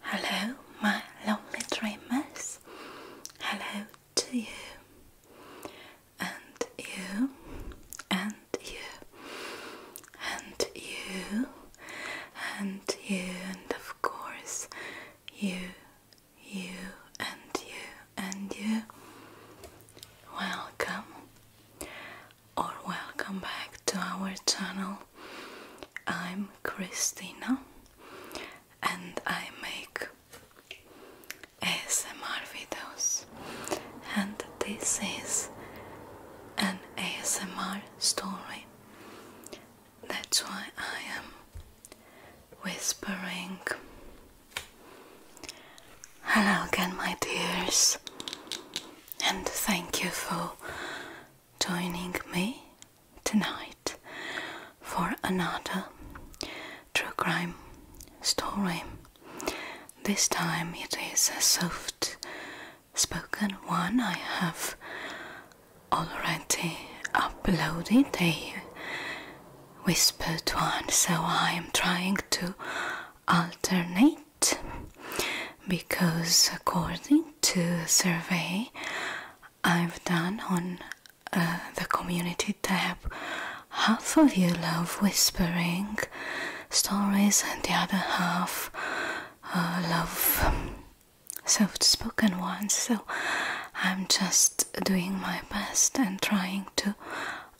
Hello, my lonely dreamers. Hello to you, and you, and you, and you, and you, and of course, you, you, and you, and you. Welcome, or welcome back to our channel. I'm Christina and I make ASMR videos, and this is an ASMR story. That's why I am whispering. Hello again, my dears, and thank you for joining me tonight for another true crime story. This time it is a soft spoken one. I have already uploaded a whispered one, so I am trying to alternate because, according to a survey I've done on uh, the community tab, half of you love whispering stories, and the other half uh, love um, soft spoken ones. So I'm just doing my best and trying to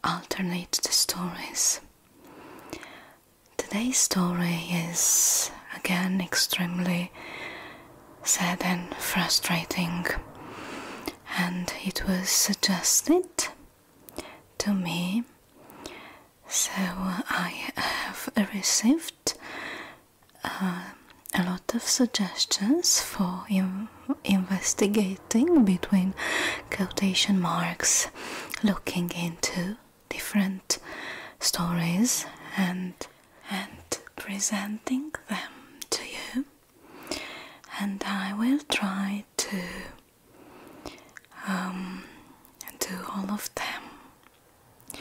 alternate the stories. Today's story is again extremely sad and frustrating, and it was suggested to me, so I have received uh, a lot of suggestions for investigating between quotation marks looking into different stories and and presenting them to you and I will try to um, do all of them.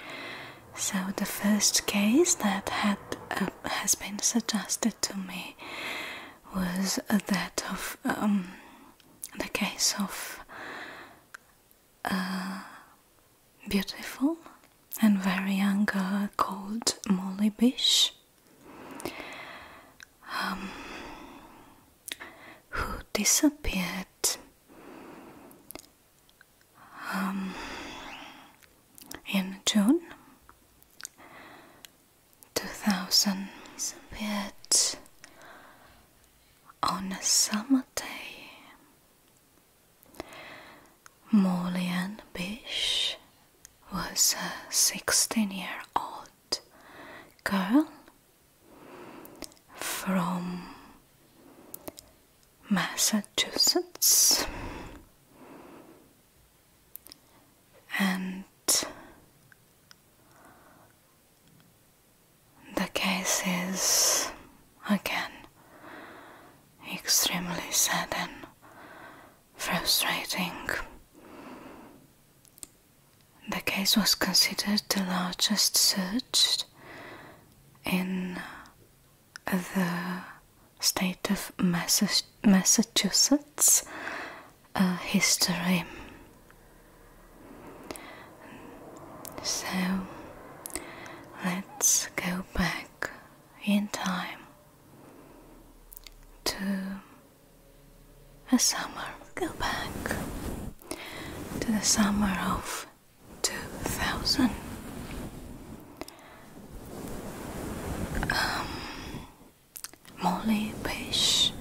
So the first case that had uh, has been suggested to me was that of um, the case of uh, beautiful and very young uh, called Molly Bish, um, who disappeared. Um, in June 2000, on a summer day. Molly Ann Bish was a 16 year old girl from Massachusetts and the case is again extremely sad and frustrating. The case was considered the largest search in the state of Massachusetts uh, history. So let's go back in time to a summer. Go back to the summer of 2000. Um, Molly Page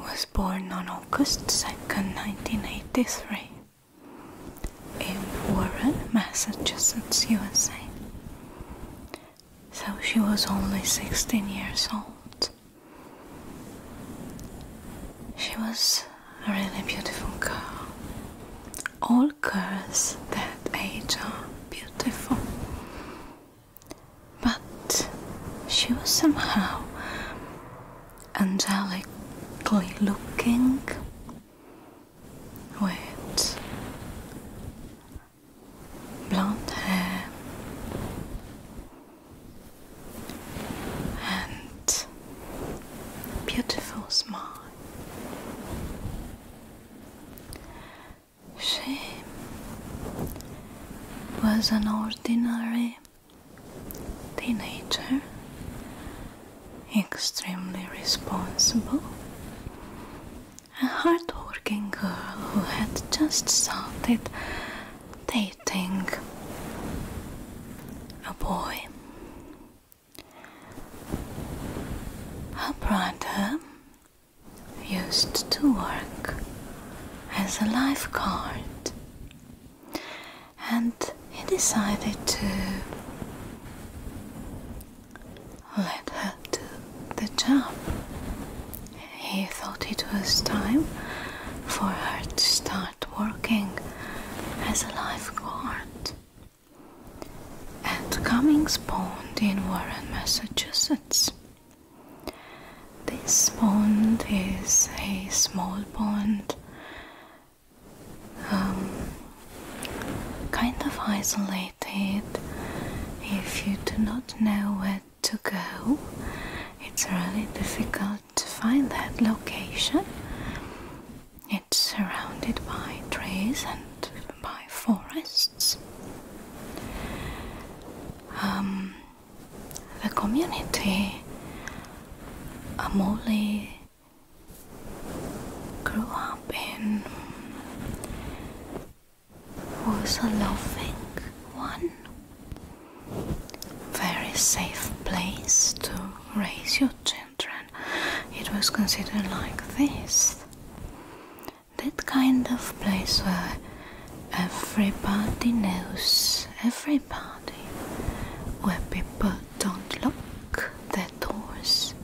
was born on August second, 1983, in Warren, Massachusetts, USA. So she was only 16 years old. She was a really beautiful girl. All girls that age are beautiful. But she was somehow angelically looking. With blonde hair and beautiful smile. She was an ordinary teenager, extremely responsible, a hard-working girl who had just started dating a boy. Her brother used to work as a lifeguard and he decided to let her do the job. He thought it was time for her to start working as a lifeguard at Cummings Pond in Warren, Massachusetts. This pond is a small pond, um, kind of isolated. If you do not know where to go, it's really difficult to find that location. It's surrounded by trees and by forests. Um, the community Amoli grew up in was a loving one, very safe place to raise your children. It was considered like this that kind of place where Everybody knows everybody. where people don't lock their doors,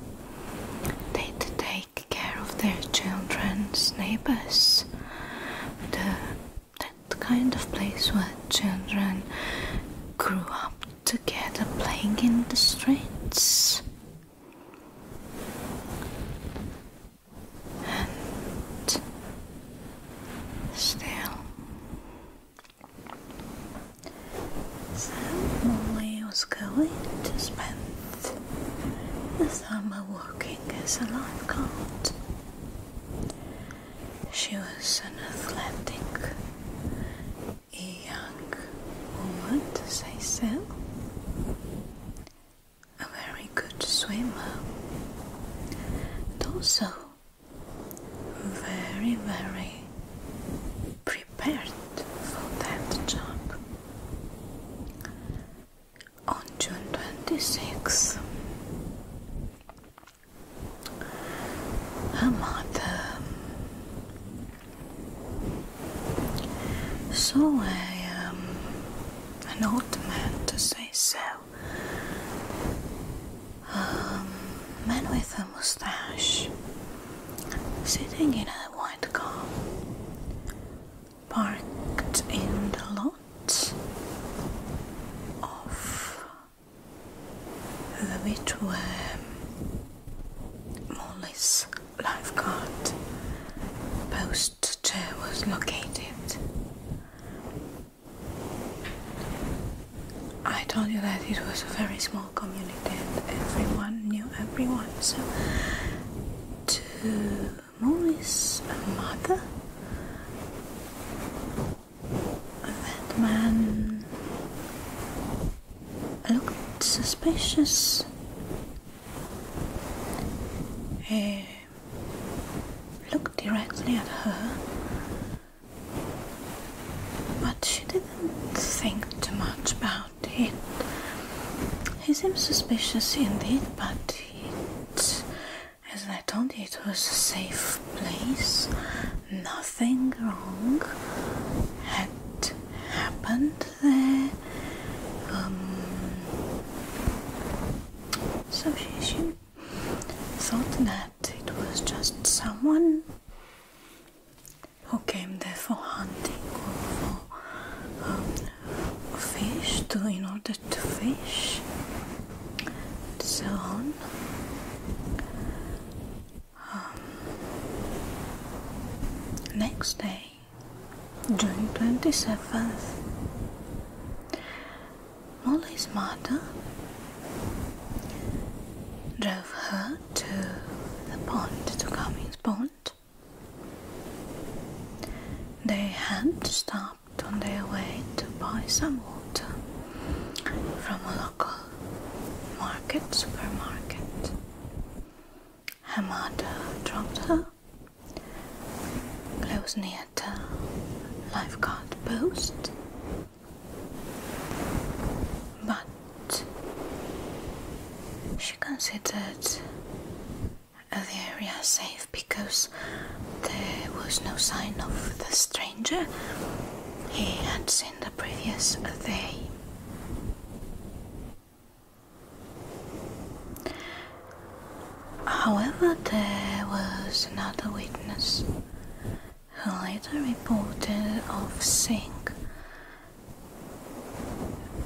they take care of their children's neighbors. The, that kind of place where children grew up together playing in the streets and still. So Molly was going to spend the summer working as a lifeguard. She was an athletic, young woman to say so, a very good swimmer and also very, very prepared for that job. On June 26, her mother saw a, um, an old man to say so um, man with a mustache sitting in a white car parked in the lot of the which were um, Molly's lifeguard post chair was located. I told you that it was a very small community and everyone knew everyone. So, to Molly's mother, that man looked suspicious. He eh, looked directly at her, but she didn't think too much about it. He seemed suspicious indeed, but it, as I told you, it was a safe place. Nothing wrong had happened there. Um, so she, thought that it was just someone who came there for hunting or for um, fish to in order to fish so on. Um, next day June 27th. Molly's mother drove her to the pond, to Cummings Pond. They had stopped on their way to buy some water from a local market, supermarket. Her mother dropped her Close near to lifeguard post. But she considered the area safe because there was no sign of the stranger he had seen the previous day. However, there was another witness who later reported of seeing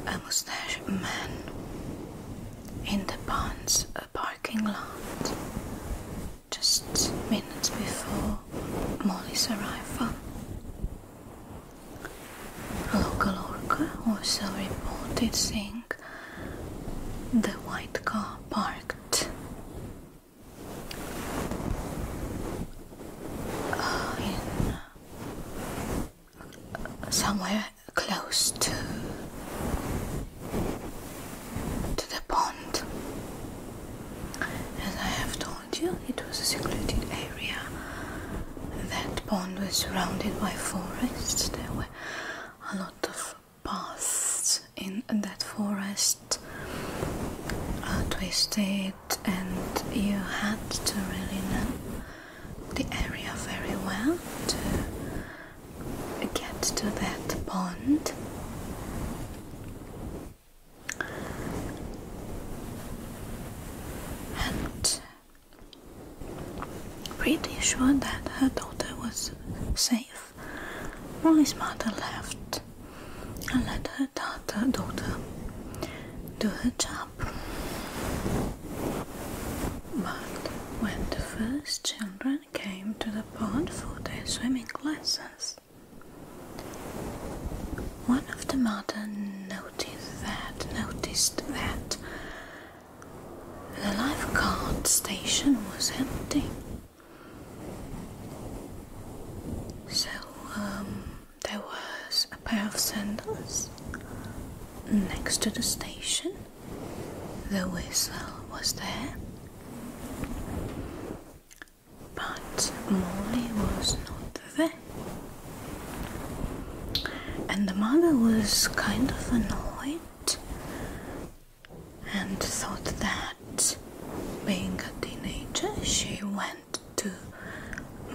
a mustached man in the ponds parking lot just minutes before Molly's arrival. A local worker also reported seeing the white car parked. Uh, uh, somewhere close to to the pond. As I have told you, it was a secluded area. That pond was surrounded by forests. There were a lot of paths in that forest uh, twisted and you had to really know the area very well to get to that pond and Pretty sure that her daughter was safe, Molly's mother left and let her daughter, daughter do her job. But when the first children came to the pond for their swimming lessons, one of the mother noticed that noticed that the lifeguard station was empty. So um, there was a pair of sandals next to the station. The whistle was there, but Molly was not there. And the mother was kind of annoyed and thought that being a teenager she went to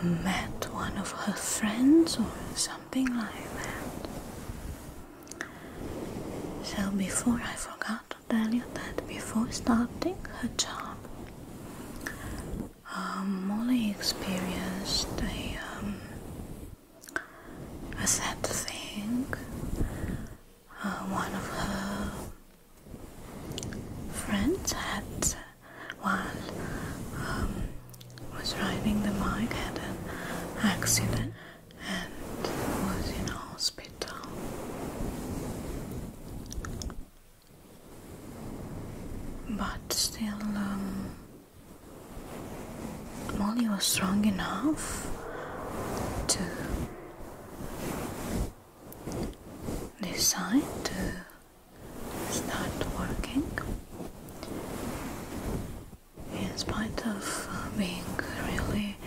met one of her friends or something like that. So before I forgot to tell you that before starting her job um, Molly experienced a um, a sad thing. Uh, one of her friends had, while um, was riding the bike, had an accident and was in hospital. But still, um, Molly was strong enough to decide to start working in spite of being really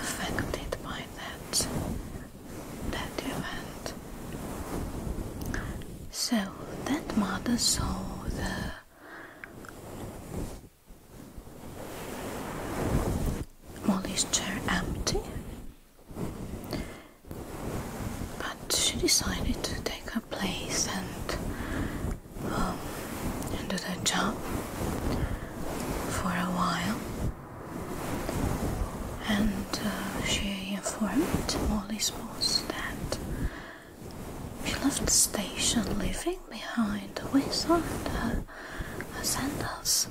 affected by that that event so that mother saw the Molly's chair empty, but she decided to take her place and, um, do the job for a while. And uh, she informed Molly's boss that she left the station, leaving behind a wizard her, her sandals.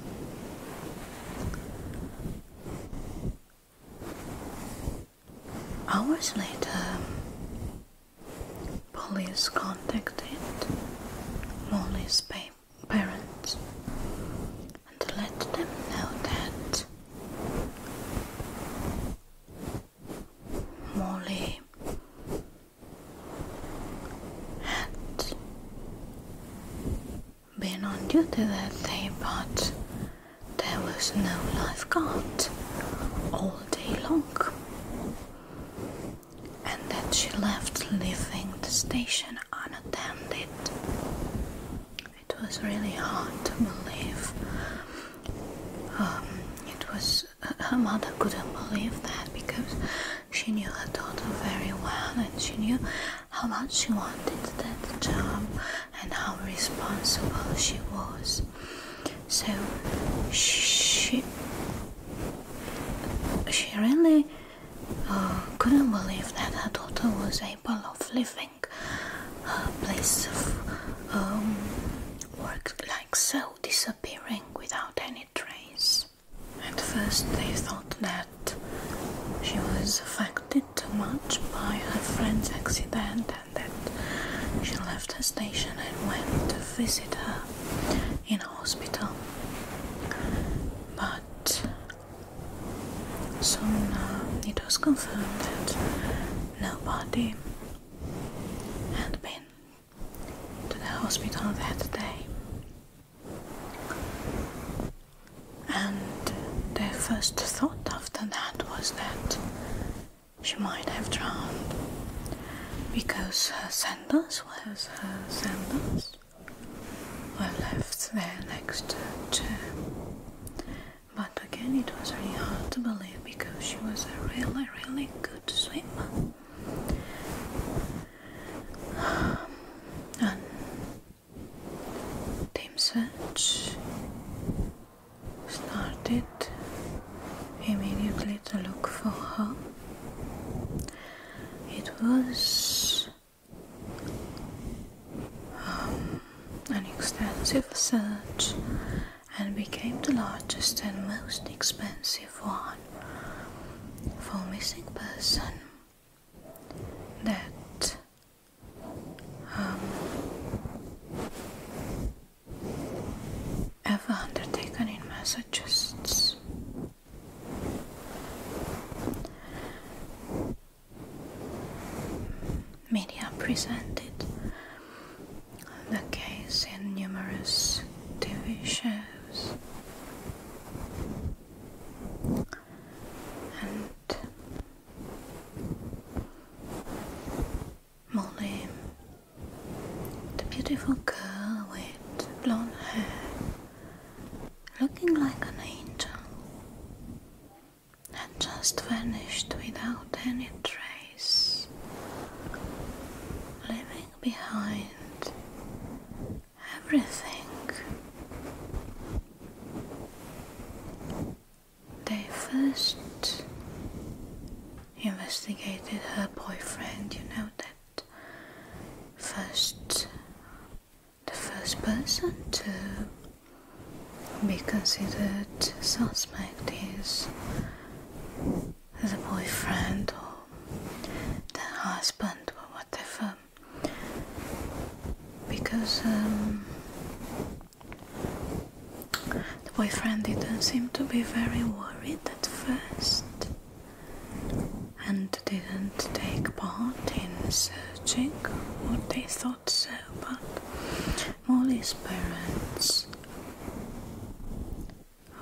Hours later, police contacted Molly's parents and let them know that Molly had been on duty that day, but there was no lifeguard all day long, and then she left, leaving the station unattended it was really hard to believe. Um, it was uh, her mother couldn't believe that because she knew her daughter very well and she knew how much she wanted that job and how responsible she was. So she she really uh, couldn't believe that her daughter was able of living uh, place of um, work like so disappearing without any trace. At first they thought that she was affected too much by her friend's accident and that she left her station and went to visit her in a hospital. But soon uh, it was confirmed that no whole body and been to the hospital that day. And their first thought after that was that she might have drowned because her sandals, where her sandals, were left there next to but again, it was really hard to believe because she was a really, really good swimmer. And Team Search started immediately to look for her. It was um, an extensive search and became the largest and most expensive one for missing person that um, ever undertaken in Massachusetts. Media presented the case in numerous TV shows. And Molly, the beautiful girl with blonde hair, looking like an angel, and just vanished without any trace, leaving behind everything. They first investigated her boyfriend, you know that first the first person to be considered suspect is the boyfriend or the husband or whatever because um, the boyfriend didn't seem to be very worried at first and didn't take part in searching what they thought so, but Molly's parents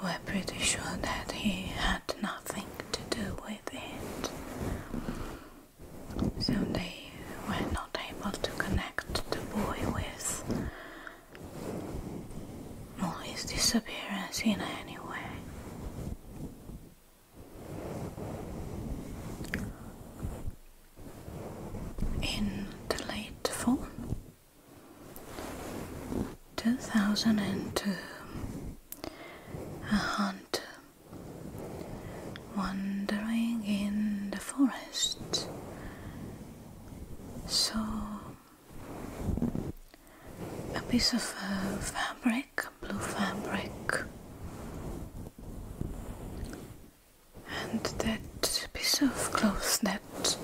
were pretty sure that he had nothing to do with it. So they were not able to connect the boy with Molly's disappearance in any way in the late fall 2002 a hunt wandering in the forest saw a piece of uh, fabric blue fabric and that piece of cloth, that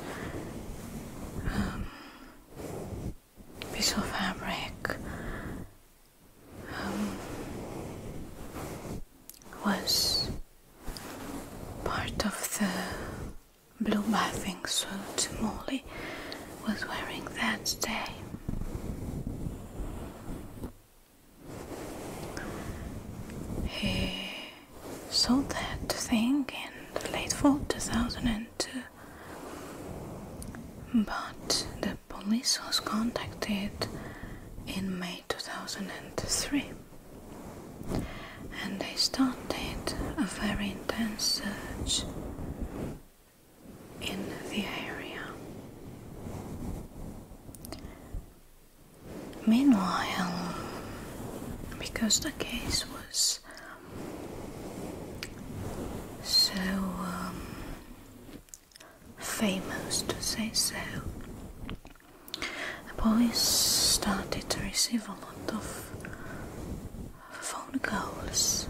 piece um, of fabric um, was part of the blue bathing suit Molly was wearing that day. He saw that thing in late fall 2002, but the police was contacted in May 2003 and they started a very intense search in the area. Meanwhile, because the case was so um, famous, to say so, the police started to receive a lot of phone calls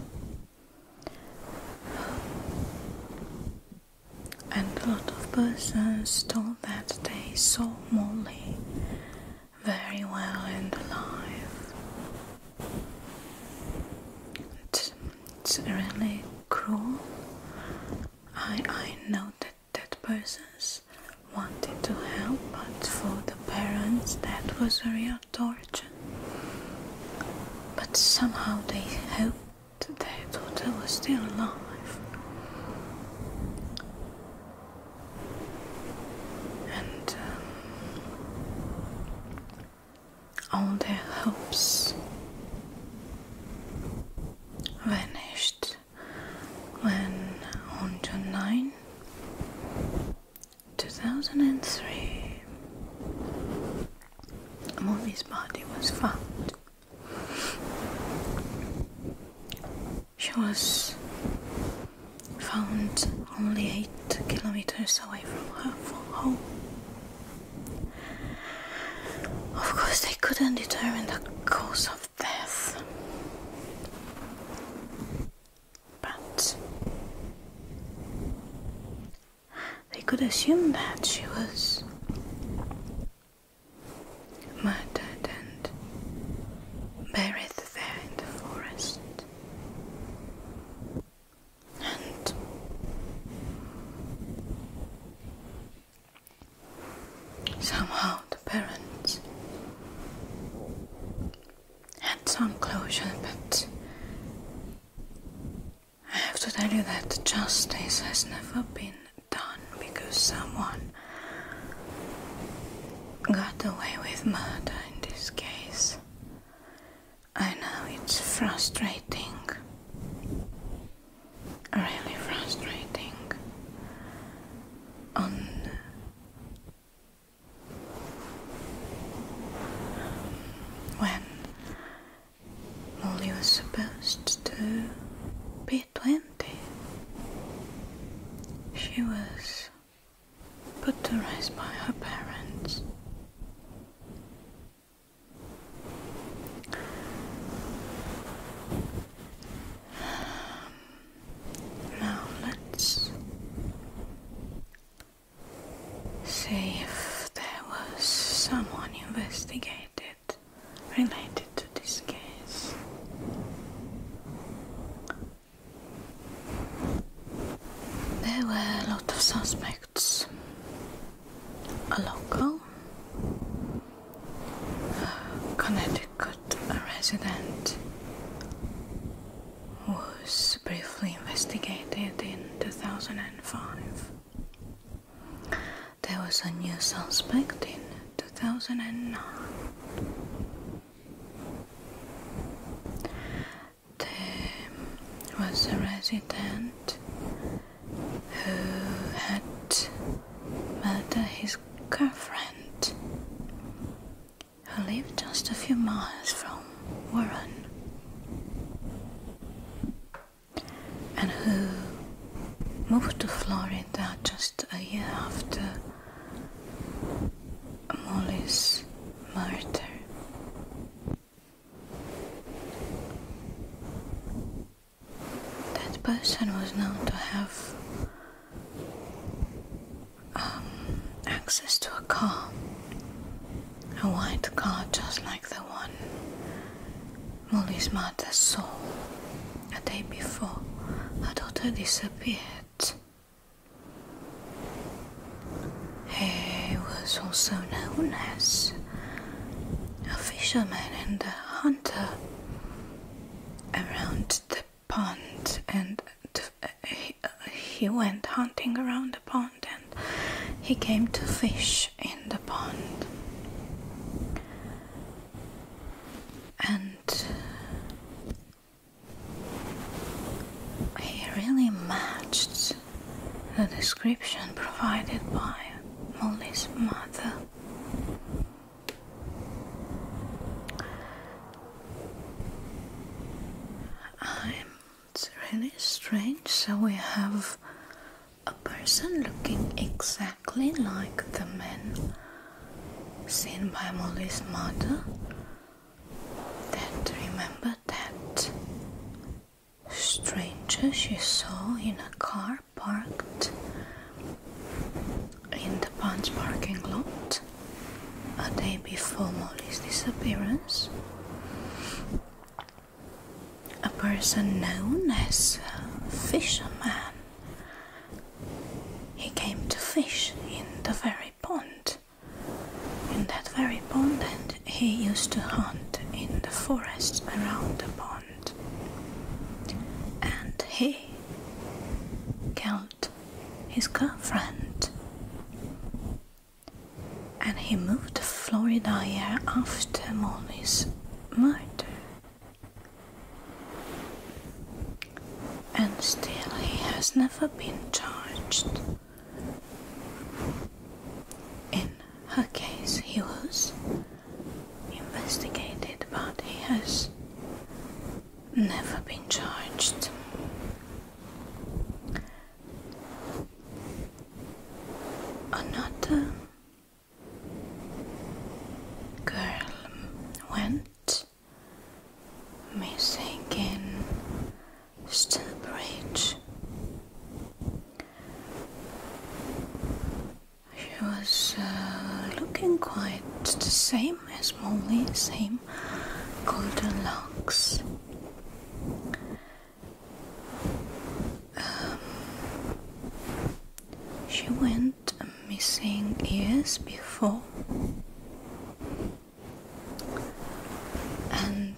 and a lot of persons told that they saw Molly very well and alive. It's, really cruel. I, I know that, that persons wanted to help, but for the parents that was a real torture. But somehow they helped Today Total is still alive. And um, all their hopes vanished when on June 9, 2003, Molly's body was found. She was found only eight kilometers away from her home. Of course, they couldn't determine the cause of death, but they could assume that she was murdered and buried there in the forest. And somehow the parents had some closure, but I have to tell you that justice has never been done because someone got away with murder in this case. I know it's frustrating. Really frustrating. On when Molly was supposed to be 20. She was put to rest by her parents. Um, now let's See if there was someone investigated related to this case. There were a lot of suspects. A local, Connecticut resident was briefly investigated in 2005. There was a new suspect in 2009. There was a resident who had murdered his girlfriend who lived just a few miles from Warren and who moved to Florida just a year after Molly's murder. That person was known to have um, access to a car a white car, just like the one Molly's mother saw a day before her daughter disappeared. He was also known as a fisherman and a hunter around the pond and he went hunting around pond and he came to fish in the pond. And he really matched the description provided by Molly's mother. I'm it's really strange. So we have a person looking exactly like the man seen by Molly's mother that remembered that stranger she saw in a car parked in the Punch parking lot a day before Molly's disappearance a person known as a fisherman. He came to fish in the very pond, in that very pond, and he used to hunt in the forest around the pond. And he killed his girlfriend and he moved to Florida a after Molly's murder. And still, he has never been charged. In her case, he was investigated, but he has never been charged another girl went missing in Stillbridge. She was uh, looking quite the same as Molly, same golden locks. Um, she went missing years before, and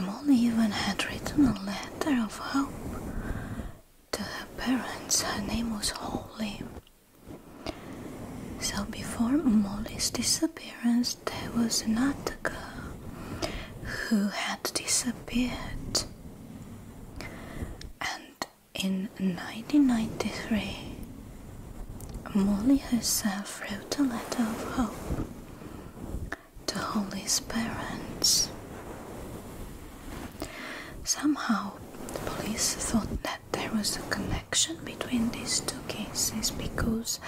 Molly even had written a letter of hope to her parents. Her name was Holly. So, before Molly's disappearance, there was another girl who had disappeared. And in 1993, Molly herself wrote a letter of hope to Holly's parents. Somehow, the police thought that there was a connection between these two cases because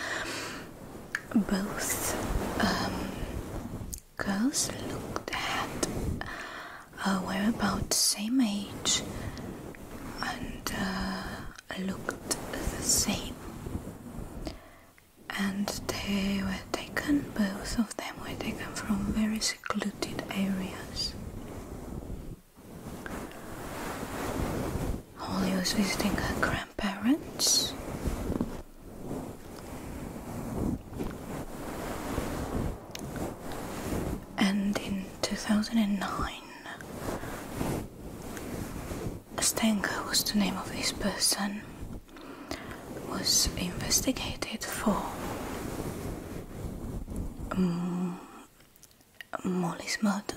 both um, girls looked at uh, were about the same age and uh, looked the same and they were taken both of them were taken from very secluded areas Holly was visiting her grandparents. And in 2009, Stenger was the name of this person, was investigated for Molly's murder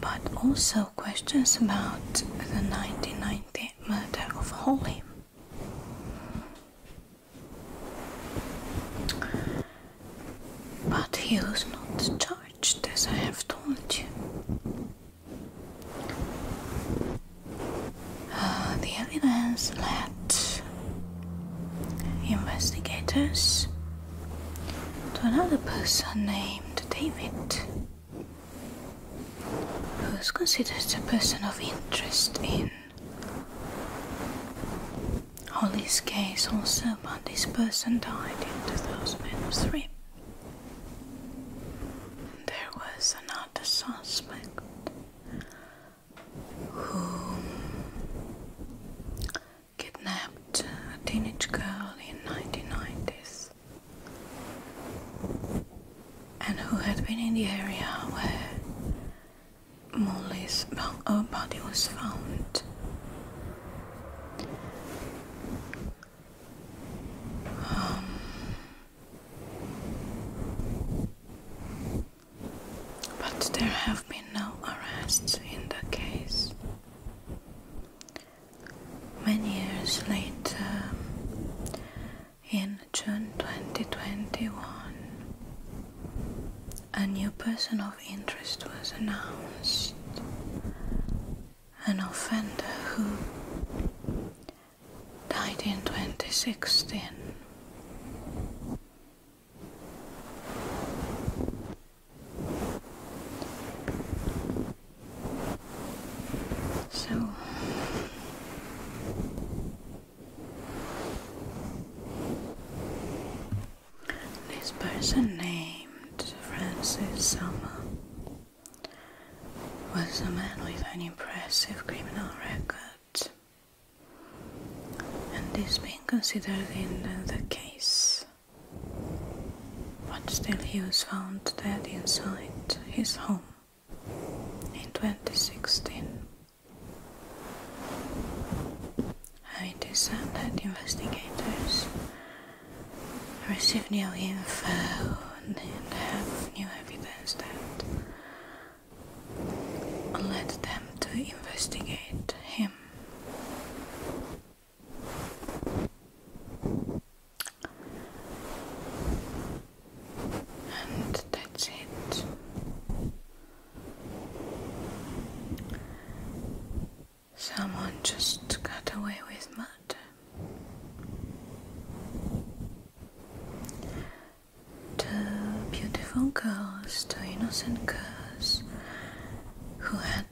but also questions about the 1990 murder of Holly. But he was not charged, as I have told you. Uh, the evidence led investigators to another person named David. Who's considered a person of interest in all this case also, but this person died in 2003. There was another suspect who kidnapped a teenage girl in 1990s and who had been in the area where Molly's oh, body was found. Um, but there have been no arrests in the case. Many years later, in June 2021, a new person of interest was announced. An offender who died in 2016. So this person named Francis Summer was a man with an impressive criminal record and is being considered in the, the case but still he was found dead inside his home in 2016. it is said that investigators received new info and have new evidence that led them to investigate him. And that's it. Someone just got away with murder. The beautiful girls, the innocent girls who had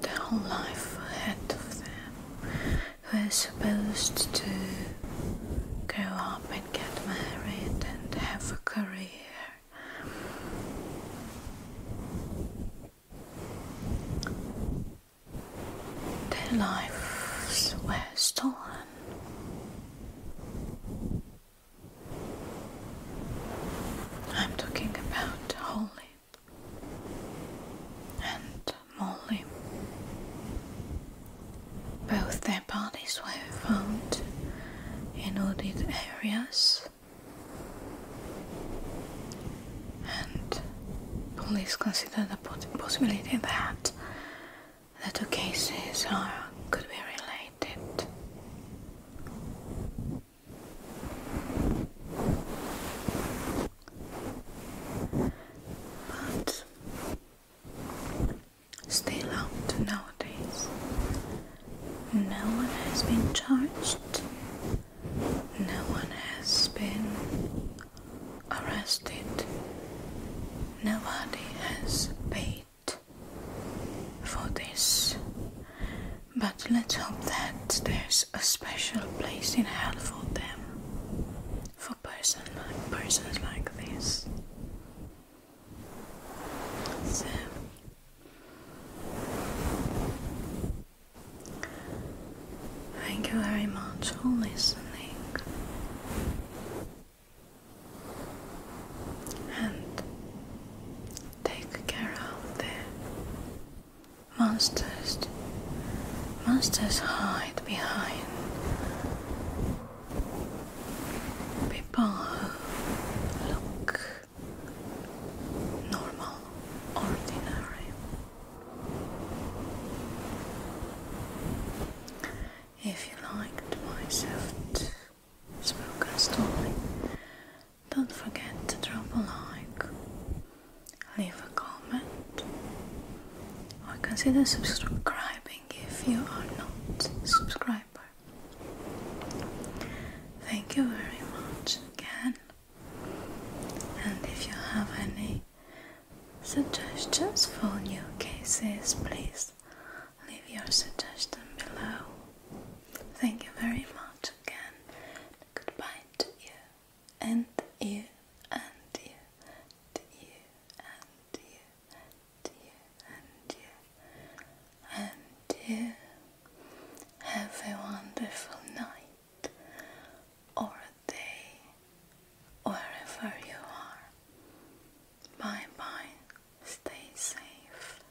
their whole life ahead of them, who are supposed to grow up and get married and have a career. Their lives were stolen. I'm talking about whole and Molly. Both their bodies were found in wooded areas, and police consider the possibility that the two cases are could be related. But still out nowadays. No one has been charged. No one has been arrested. Nobody has paid for this. But let's hope that there's a special place in hell for them, for person persons like this. So, thank you very much for listening. And Take care of the monsters. Monsters hide behind people who look normal, ordinary. If you liked my soft spoken story, don't forget to drop a like, leave a comment, or consider subscribing if you are not a subscriber. Thank you very much again, and if you have any suggestions for new cases, please leave your suggestion below. Thank you very much again. Goodbye to you, and you, and you, and you, and you, and you, and you, and you. Have a wonderful night or day wherever you are. Bye bye. Stay safe.